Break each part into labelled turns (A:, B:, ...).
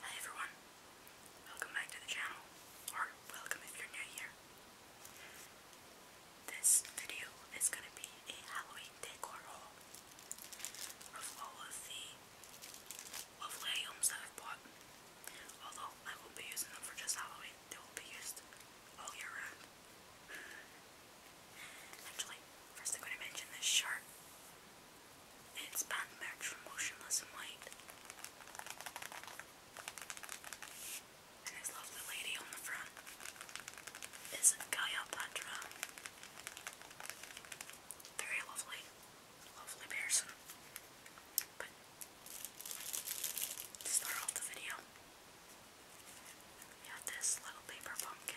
A: Hi everyone, welcome back to the channel, or welcome if you're new here. This video is going to be a Halloween decor haul of all of the lovely items that I've bought. Although I will be using them for just Halloween, they will be used all year round. Actually, first I'm going to mention this shirt. It's band from Motionless and White. And this lovely lady on the front is Gaia Patra. Very lovely, lovely person. But start off the video, we have this little paper pumpkin.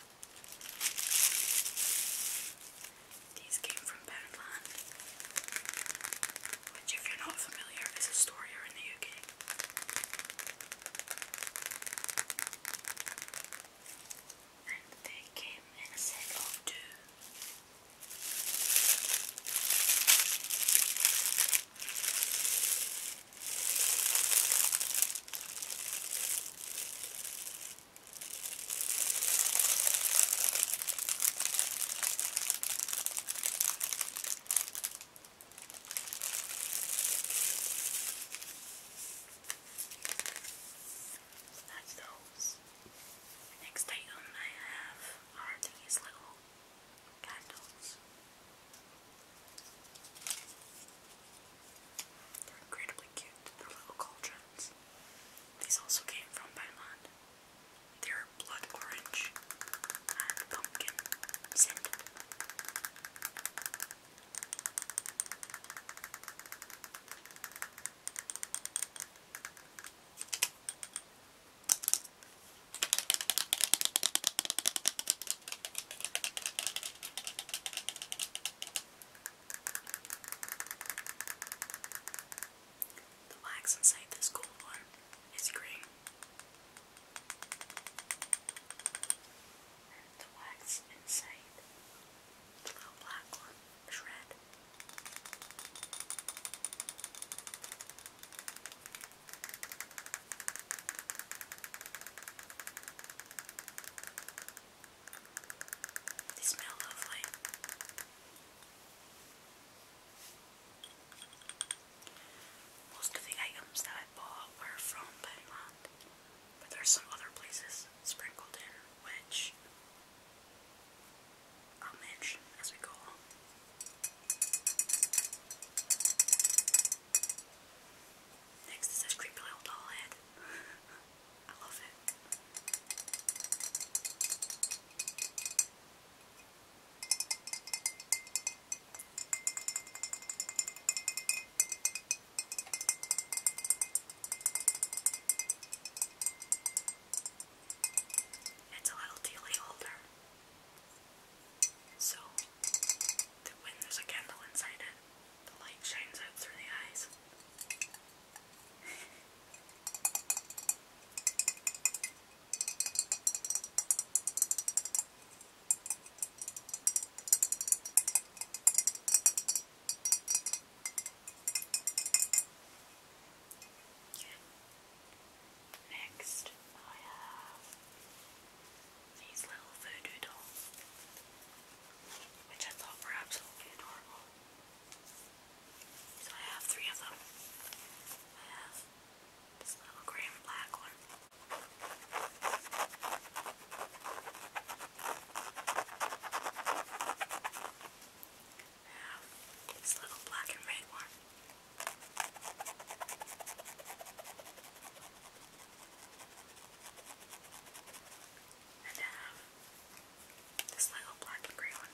A: These came from Poundland, which, you're not familiar, is a store here in the UK. And they came in a set of so that's those. Next item I have are these little candles. They're incredibly cute, they're little cauldrons. These also came from Thailand. They're blood orange and pumpkin scented. The wax inside this gold bar is green. And the wax inside the little black one is red. They smell lovely. Most of the items that I bought were from Pennyland, but there's some other places sprinkled in which I'll as we go Next is this creepy little doll head. I love it. It's a little tealy holder. So, when there's a candle inside it, the light shines out through the eyes. Next, I have these little voodoo dolls, which I thought were absolutely adorable. So I have three of them. I have this little grey and black one. this little black and red one. And I have this little black and grey one. I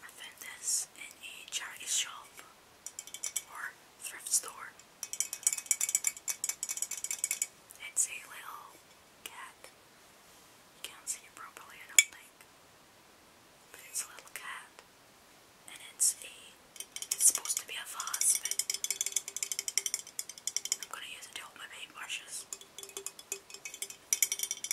A: I found this in a charity shop or thrift store. It's a little cat. You can't see it properly, I don't think. But it's a little cat. And it's a supposed to be a vase, but I'm gonna use it to hold my paintbrushes.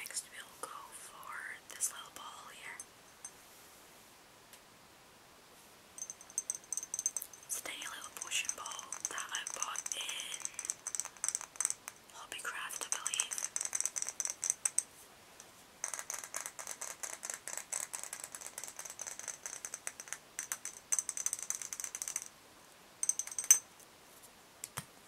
A: Next, we'll go for this little ball here. It's tiny little potion ball that I bought in Hobbycraft, I believe.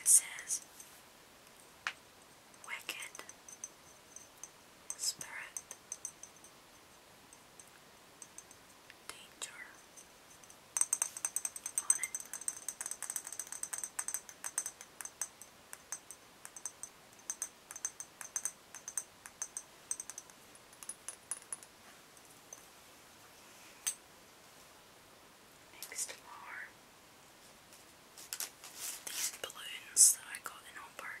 A: It says wicked spirit danger on Next are these balloons that I got in all bargains.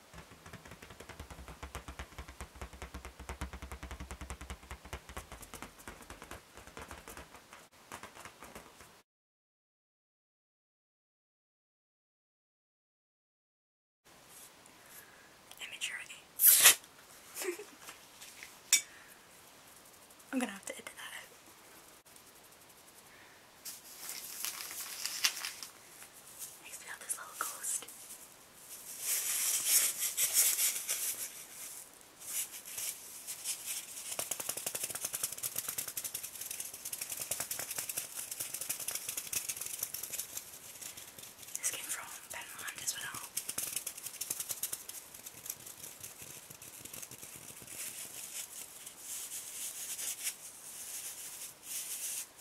A: Immaturity. I'm gonna have to edit that out. Next we have this little ghost. This came from Benmont as well. Then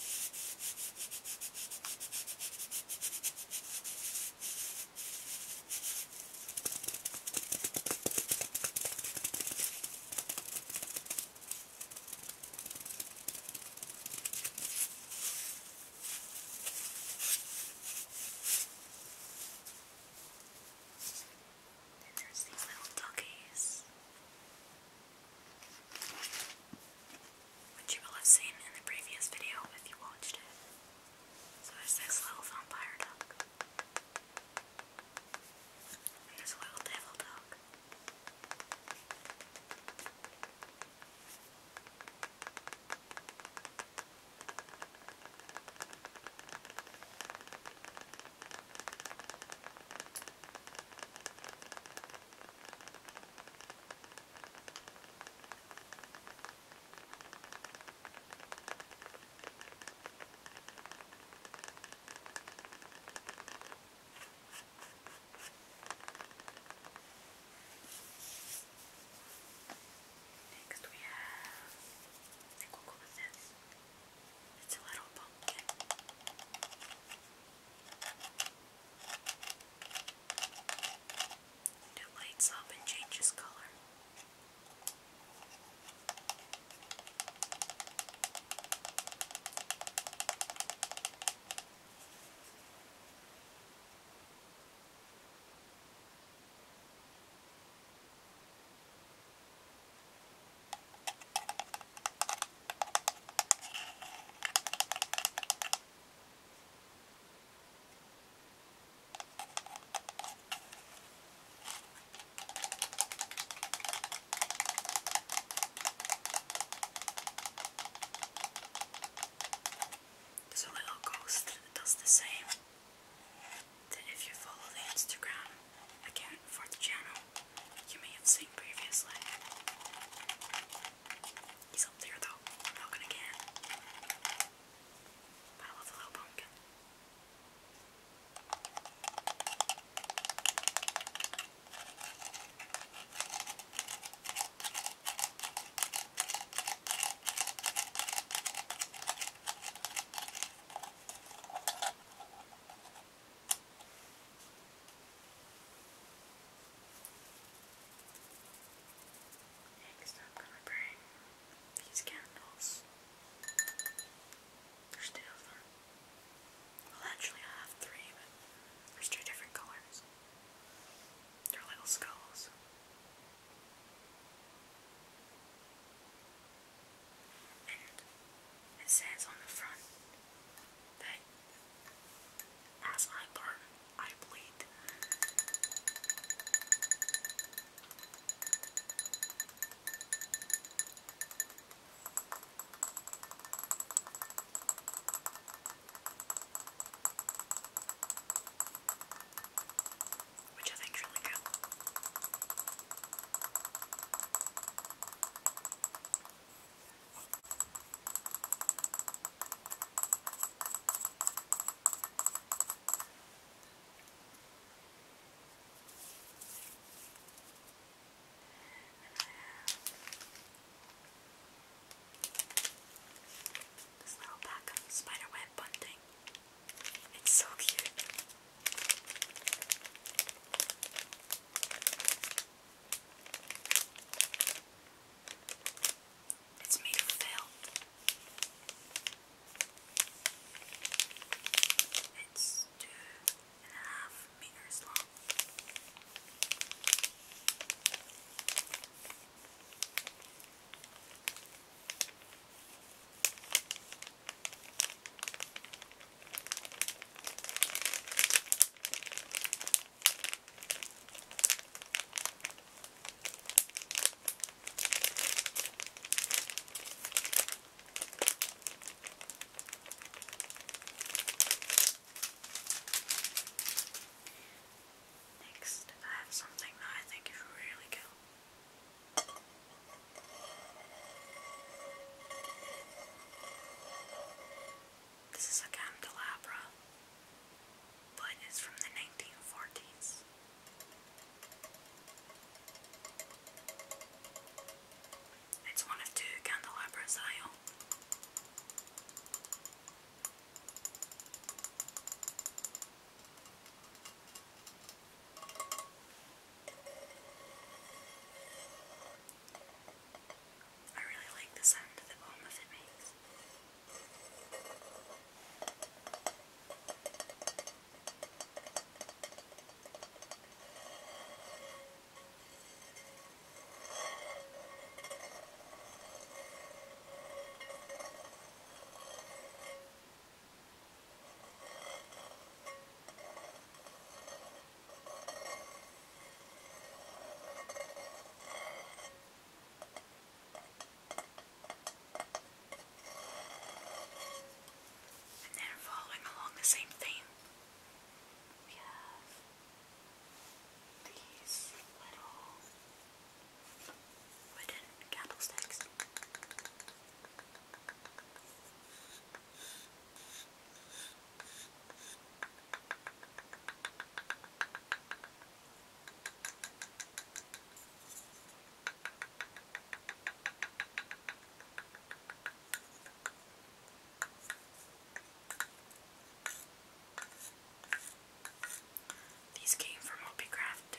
A: there's these little doggies which you will have seen in the previous video if you watched it. So there's this little vampire duck. And this little devil duck. Next we have I think It's a little pumpkin. It lights up and changes color. There's a little ghost that does the same. That if you follow the Instagram again for the channel you may have seen previously. He's up there though, not gonna get him. But I little pumpkin. Next, I'm going to bring these candles. There's two of them. Well, actually, I have three, but there's two different colors. They're little skulls and it says on the front that as I burn, I bleed. Which I think really cool this little pack of spiderweb bunting. It's so cute. It's made of film. It's two and a half meters long. Next, I have something that I think is really cool. This is a candelabra, but it's from the 1940s. It's one of two candelabras I own. I really like the sound that the bomb of it makes. I and then following along the same theme, we have these little wooden candlesticks. These came from Hobbycraft.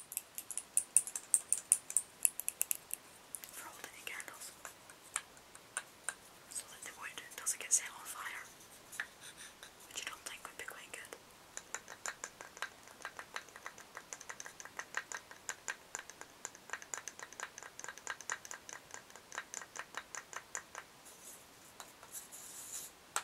A: for holding candles so that the wood doesn't get set on fire, which I don't think would be quite good. And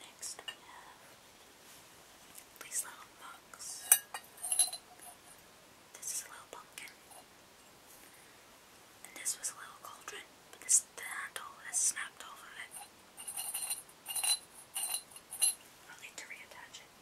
A: next we have these little books. This is a little pumpkin and this was a little cauldron, but the handle has snapped off of it. I'll need to reattach it.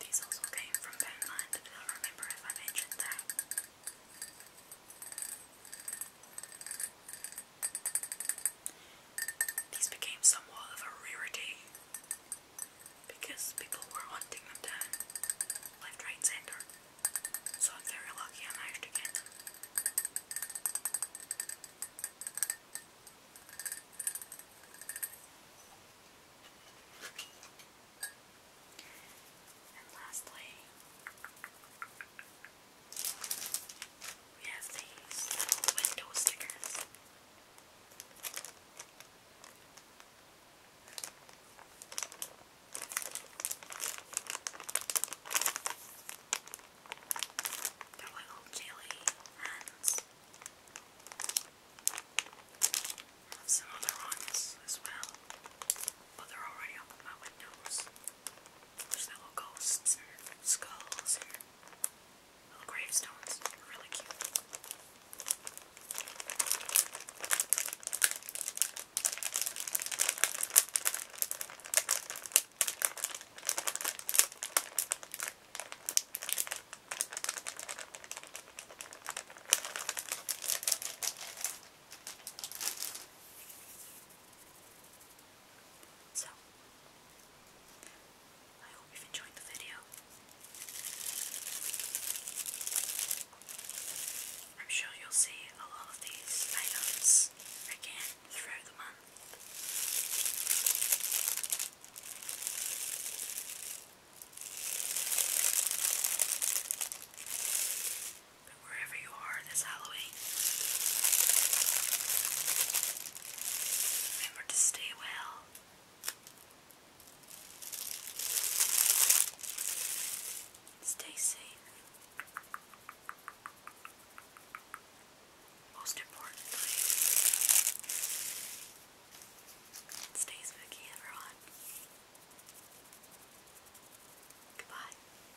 A: These also came from Poundland, I don't remember if I mentioned that. These became somewhat of a rarity because people were hunting them down left, right, centre. So I'm very lucky I managed to get And lastly, we have these window stickers. They're little jelly hands. Some other ones as well, but they're already on my windows. There's little ghosts or skulls or little gravestones. really cute. So, I hope you've enjoyed the video. I'm sure you'll see a lot of these items again throughout the month wherever you are this Halloween, remember to stay well. Stay safe. Most importantly, stay spooky, everyone. Goodbye.